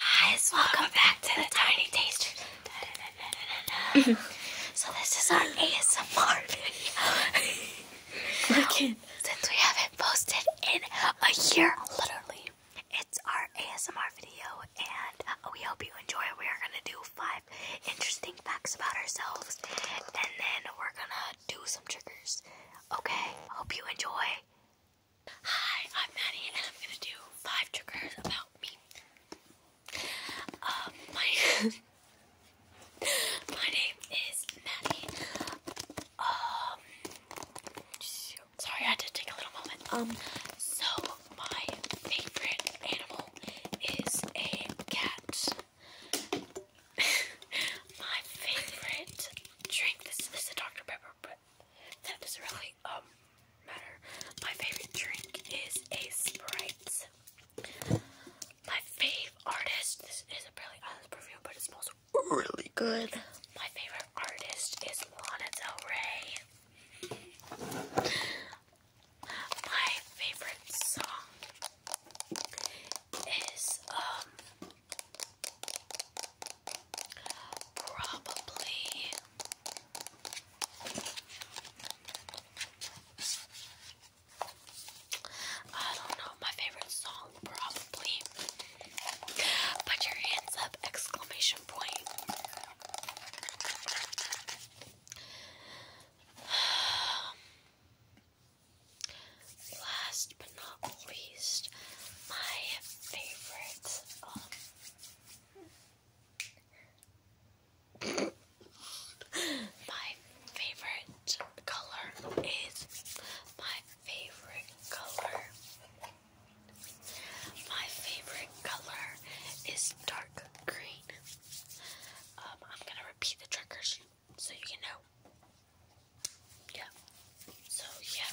Hi, welcome back to the Tiny Taster. so this is our ASMR video. Since we haven't posted in a year, literally, it's our ASMR video, and uh, we hope you enjoy. We are gonna do five interesting facts about ourselves, and then we're gonna do some triggers. Okay. Hope you enjoy. Hi, I'm Maddie, and I'm gonna do five triggers about me. Um, my my name is Maddie. Um, sorry, I had to take a little moment. Um, so my favorite animal is a cat. my favorite drink. is a Dr Pepper that doesn't really um matter. My favorite drink is a Sprite. My favorite artist, this is a Barely Islands perfume, but it smells really good. My favorite artist is Lana Del Rey. My favorite song is um Probably I don't know my favorite song probably. Put your hands up exclamation point. Last but not least, my favorite um, my favorite color is my favorite color. My favorite color is dark green. Um, I'm gonna repeat the triggers so you can know. Yeah. So yeah.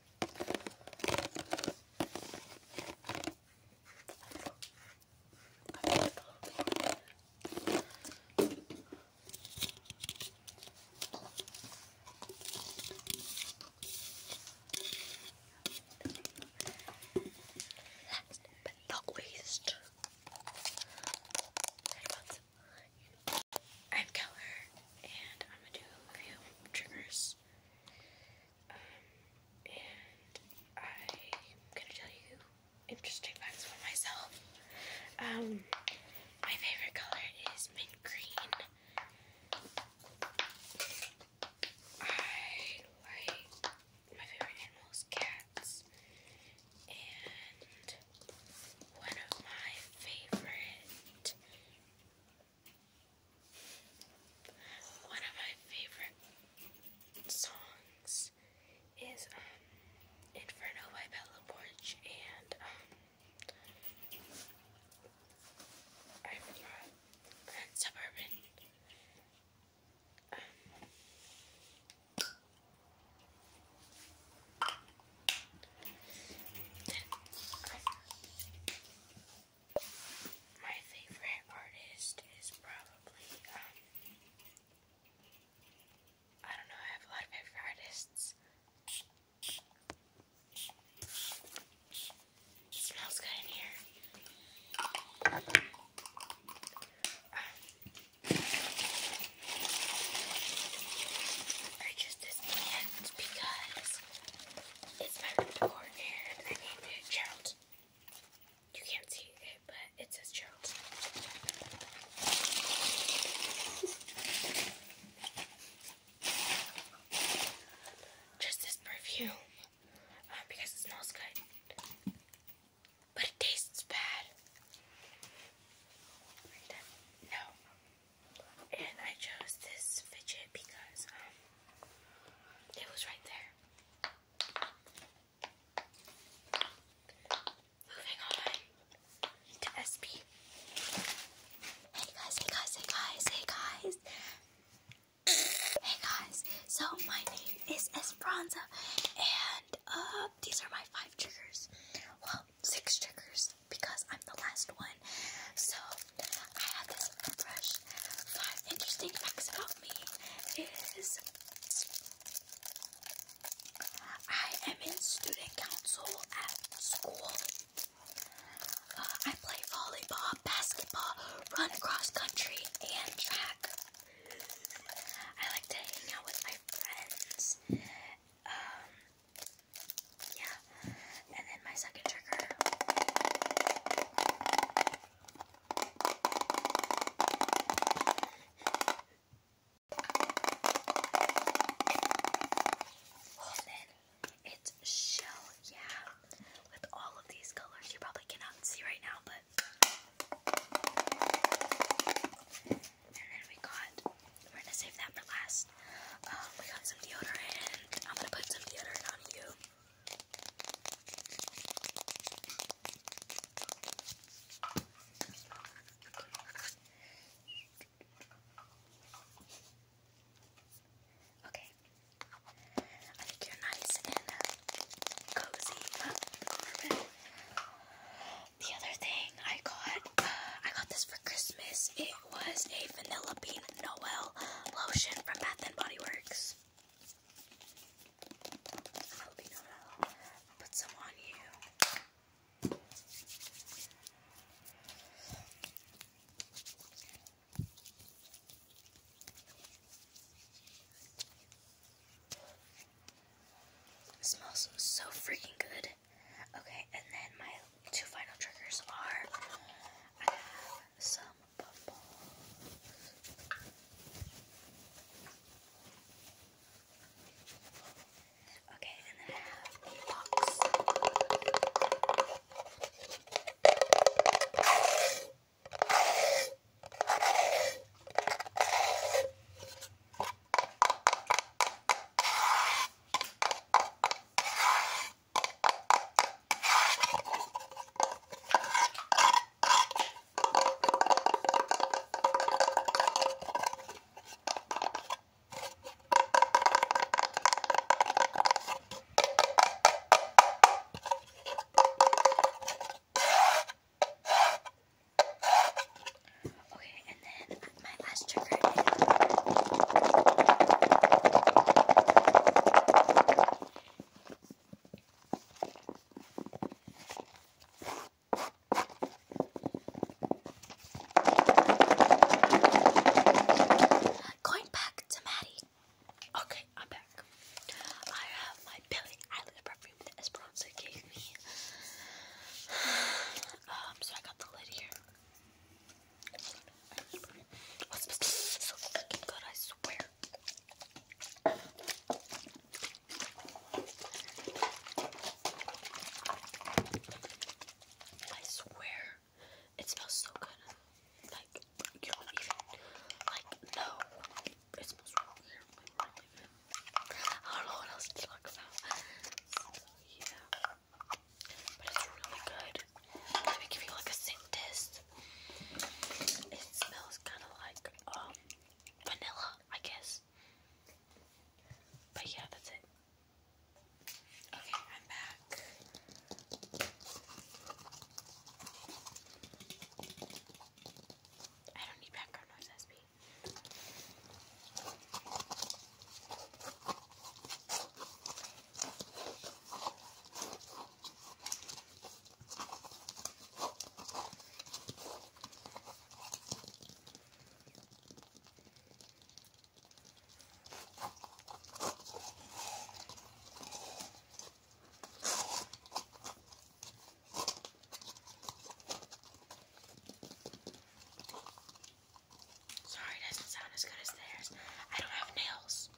Last but not least, I'm Keller, and I'm gonna do a few triggers. Um, and I'm gonna tell you interesting facts about myself. Um, my favorite color is mint green. I like my favorite animals, cats, and one of my favorite one of my favorite songs is um, Inferno by Bella Porch and um, Suburban. Um, my favorite artist is probably um I don't know, I have a lot of favorite artists. smells good in here. I um, just this because it's my room decor and I named it Gerald. You can't see it, but it says Gerald. Just this perfume, uh, because it smells good, but it tastes bad. No, and I chose this fidget because um, it was right there. Moving on to SB. Hey guys, hey guys, hey guys, hey guys. Hey guys, so my name is Esperanza and uh, these are my five triggers. Well, six triggers because I'm the last one. So I have this brush. Five interesting facts about me is I am in student council at school. Uh, I play volleyball, basketball, run cross country, and track. I like to hang out with my friends. Um, yeah. And then my second trigger. Hold It's shell, yeah. With all of these colors, you probably cannot see right now, but. And then we got. We're gonna save that for last. I um, got some deodorant. I'm gonna put some deodorant on you. Okay. I think you're nice and cozy The other thing I got, uh, I got this for Christmas was a Vanilla Bean Noel lotion from Bath and Body Works. Put some on you. smells so freaking good. Okay, and then my two final triggers are I have some bubbles. Okay, and then I have a box. Okay, and then my last trigger I picked up Going back to Maddie. Okay, I'm back. I have my Billy Eyelid perfume that Esperanza gave me. um, so I got the lid here so fucking good, I swear. I swear, it smells so good. Like, like, no. It smells really, good. I don't know what else to talk about. yeah. But it's really good. Let me give you like a scent test. It smells kind of like um, vanilla, I guess. But yeah, that's it. Okay, I'm back. I don't need background noise, SB. Sorry, doesn't sound as good as theirs. I don't have nails.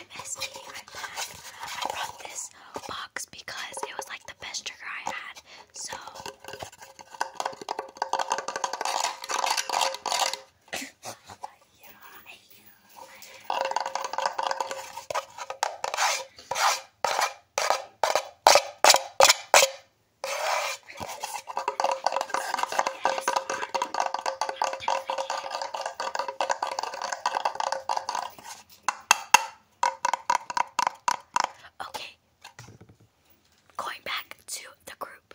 I'm SB, i brought this box because it was like the best trigger I had. So Okay, going back to the group.